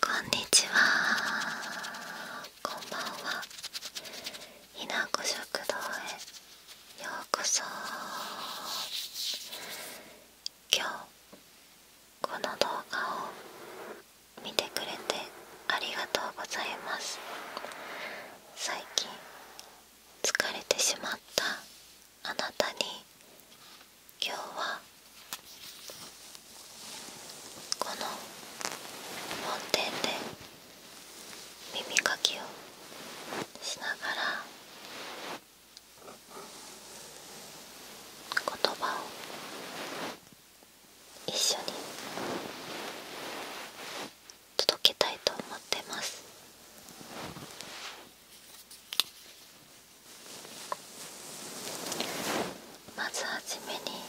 こんにちはこんばんはひなこ食堂へようこそ今日この動画を見てくれてありがとうございます最近疲れてしまったあなたに今日はこの本店で耳かきをしながら言葉を一緒に届けたいと思ってますまず初めに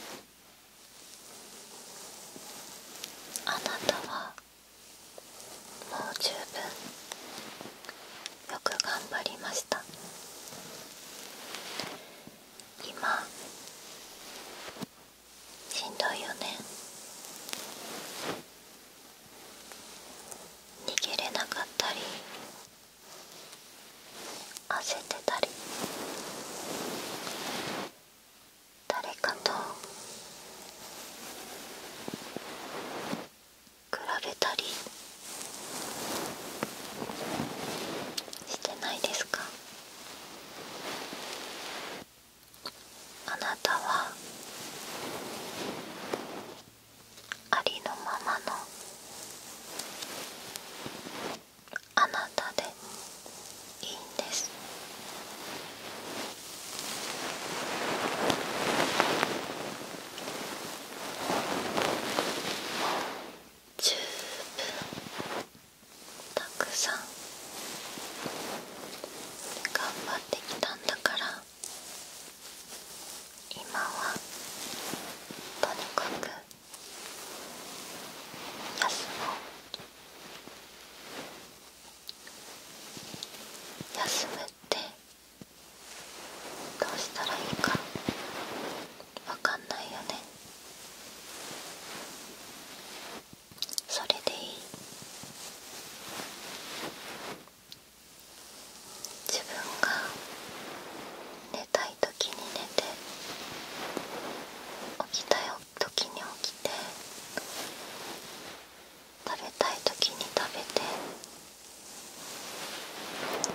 あなたはもう十分よく頑張りました今しんどいよね逃げれなかったり焦ってたり誰かと比べたりしてないですかあなたはありのままのあなたでいいんです十分たくさん頑張ってきたんだから今はとにかく休もう休むってどうしたらいいか分かんないよねそれでいい自分が寝たい時に寝て起きたい時に起きて食べたい時に食べ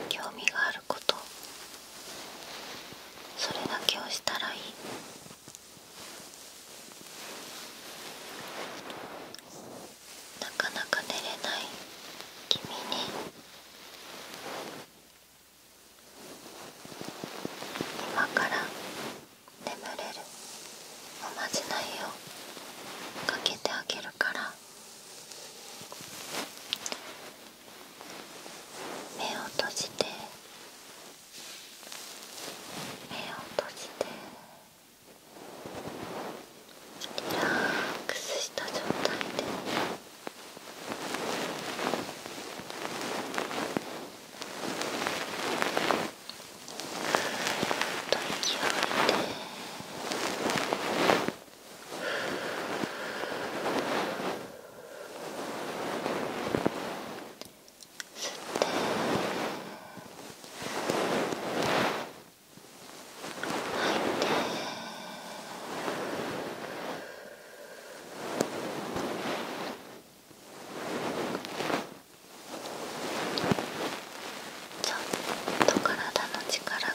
て興味があることそれだけをしたらいいなかなか寝れない君に今から眠れるおまじないをかけてあげるから目を閉じて目を閉じてリラックスした状態でぐっと息を吐いて。吸って。て。吐いちょっと体の力が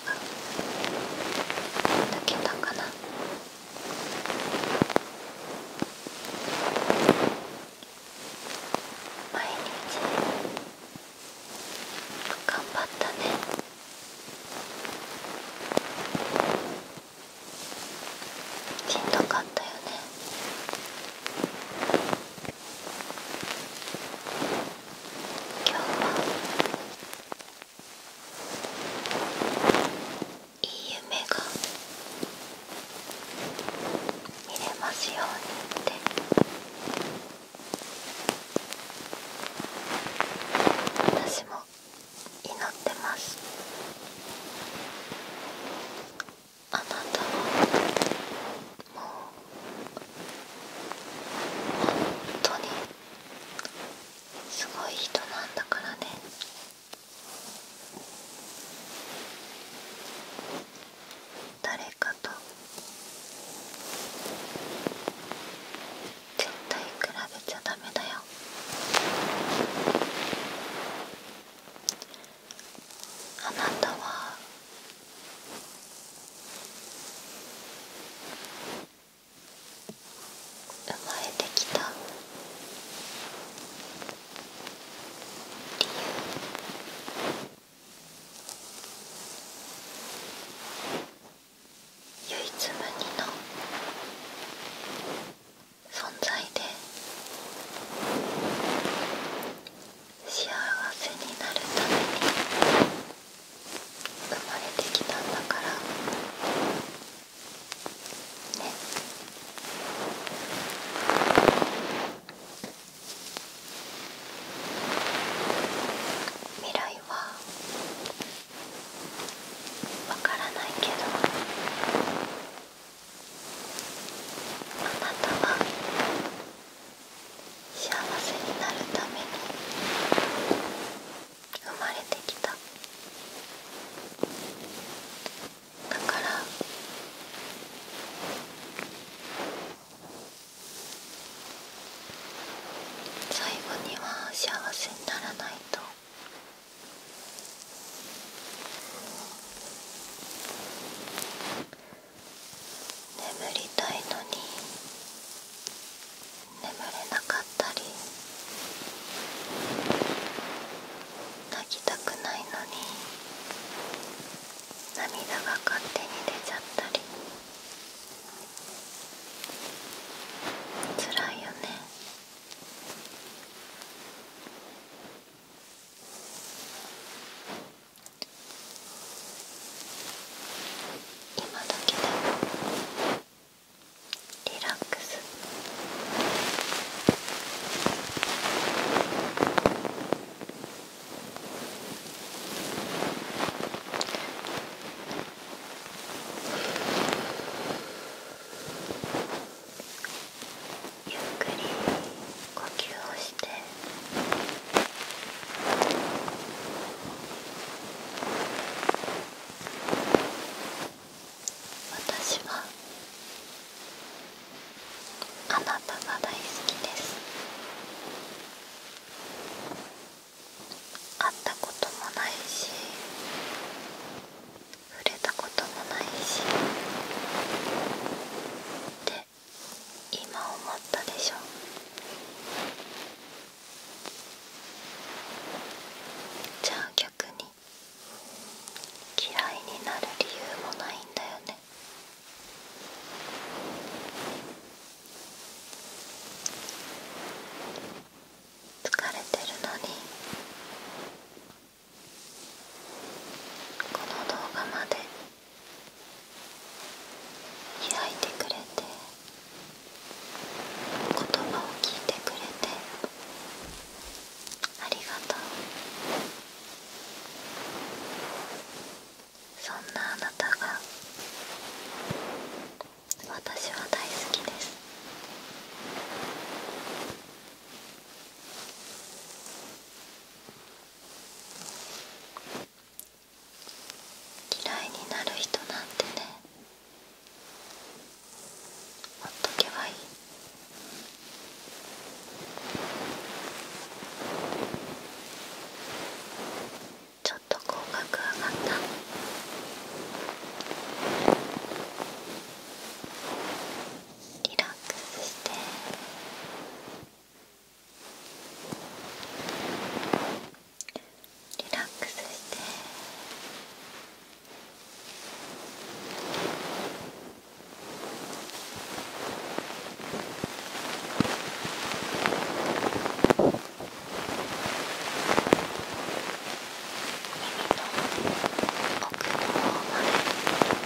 抜けたかな。毎日頑張ったねしんどかったよね今日はいい夢が見れますようにって私も祈ってますあなたはもう本当にすごい人なんだからね誰かと絶対比べちゃダメだよあなたは生まれてきた理由唯一無二の存在で幸せになるために生まれてきたんだからね未来はわからないけどあなたは幸せになるために生まれてきただから最後には幸せにならないと眠りたいのに眠れなかったり泣きたくないのに涙が勝手に出ちゃったりつらいよね今だけでも。リラックスゆっくり呼吸をして。私はあなたが大好きです会ったこともないし触れたこともないしで今思ったでしょじゃあ逆に嫌いになる理由もないんだよね疲れてるのにこの動画まで開いてくれて言葉を聞いてくれてありがとうそんなあなたが私は大好きです嫌いになる人なんてねほっとけばいいちょっと口角上がったリラックスして。リラックスして耳と奥の方まで。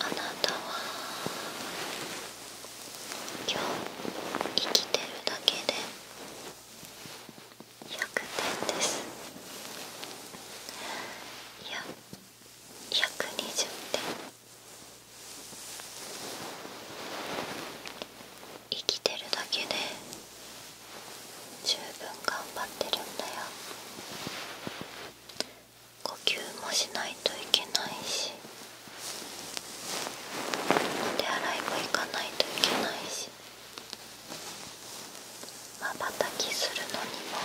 あなたは今日生きてるだけで100点ですいや120点生きてるだけで十分頑張ってるんだよ呼吸もしないといけないしお手洗いも行かないといけないしまばたきするのにも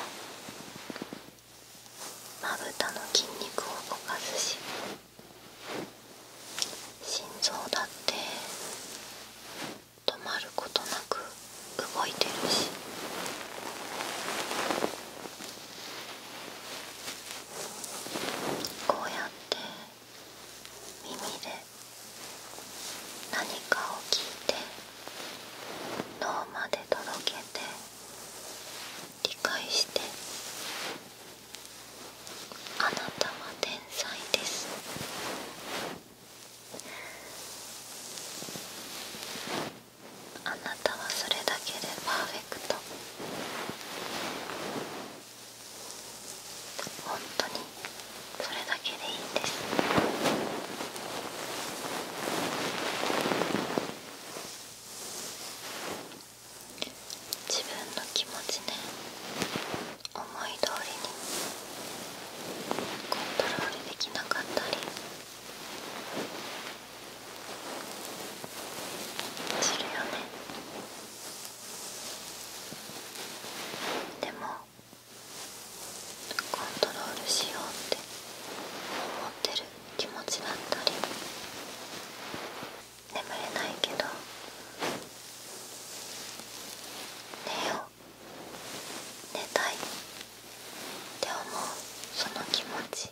まぶたの筋肉を動かすし心臓だって止まることなく動いてるしこうやって耳で何かを聞いて脳まで届けて理解してあなたは天才ですあなたはそれだけでパーフェクト本当にそれだけでいいんです自分の気持ちね思い通りにコントロールできなかったりするよねでもコントロールしようって思ってる気持ちだったり眠れないけど寝よう寝たいって思うその気持ち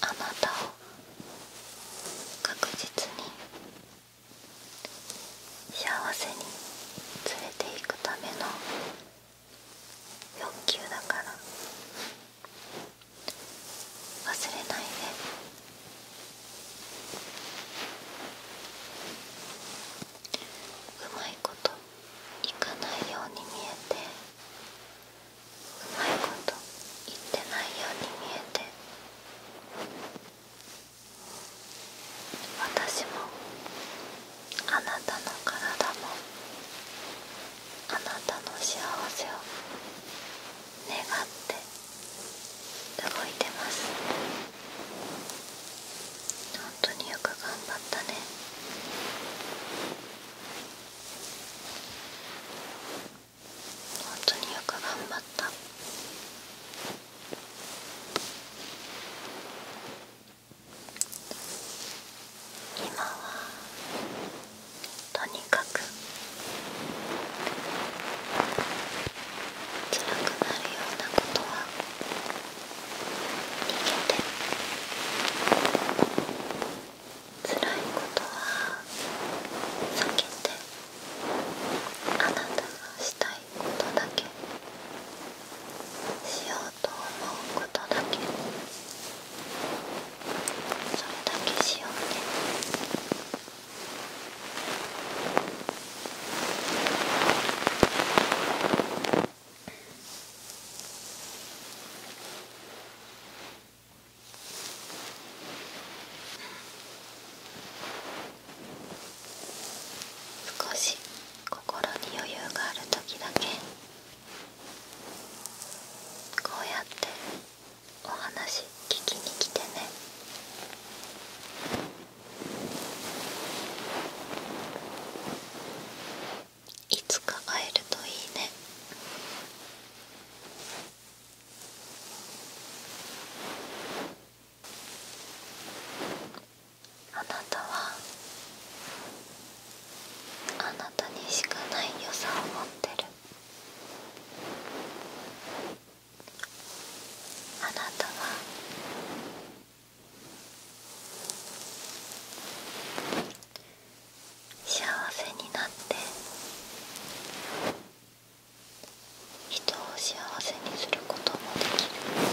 あなたを確実に幸せに連れていくための欲求だから忘れないでうまいこといかないように見えてうまいこと言ってないように見えて私もあなたの体もあなたの幸せを願って動いてます本当によく頑張ったね本当によく頑張った今はとにかく辛くなるようなことは逃げて辛いことは避けてあなたがしたいことだけしようと思うことだけ。それだけしようね少し心に余裕がある時だけこうやってお話聞きに来てねいつか会えるといいねあなたはあなたにしかない良さを持ってるあなたは幸せになって人を幸せにすることもできる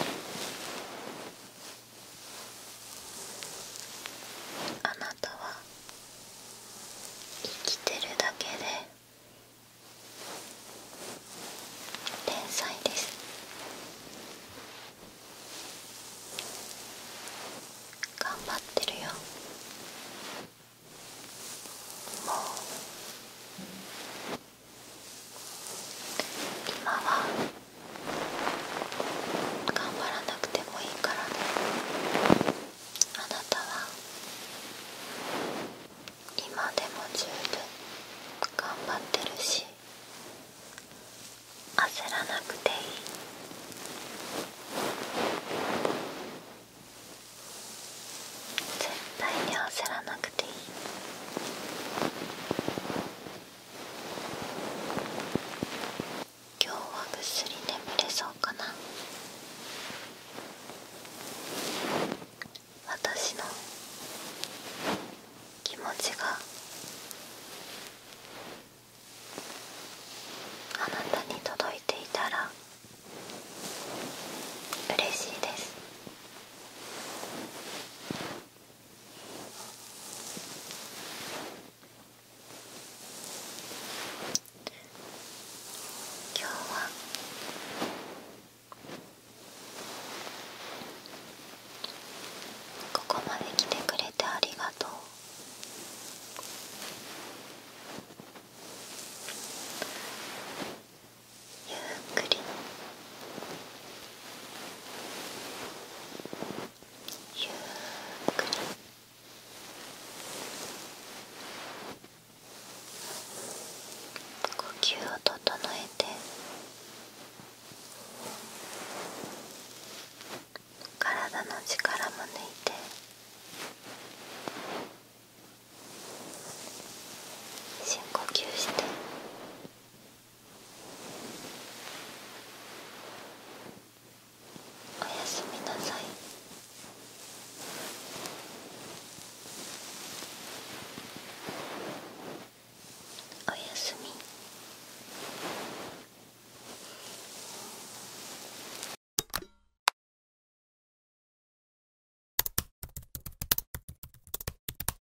あなたは生きてるだけで天才です頑張ってるよもう今は頑張らなくてもいいからねあなたは今でも十分頑張ってるし焦らなくていい絶対に焦らなくていい今日はぐっすり眠れそうかな私の気持ちがあなたに届いていたら嬉しいです今日はここまで来てくれてありがとうゆっくりゆっくり呼吸を整えて体の力も抜いて深呼吸して。おやすみなさいおやすみ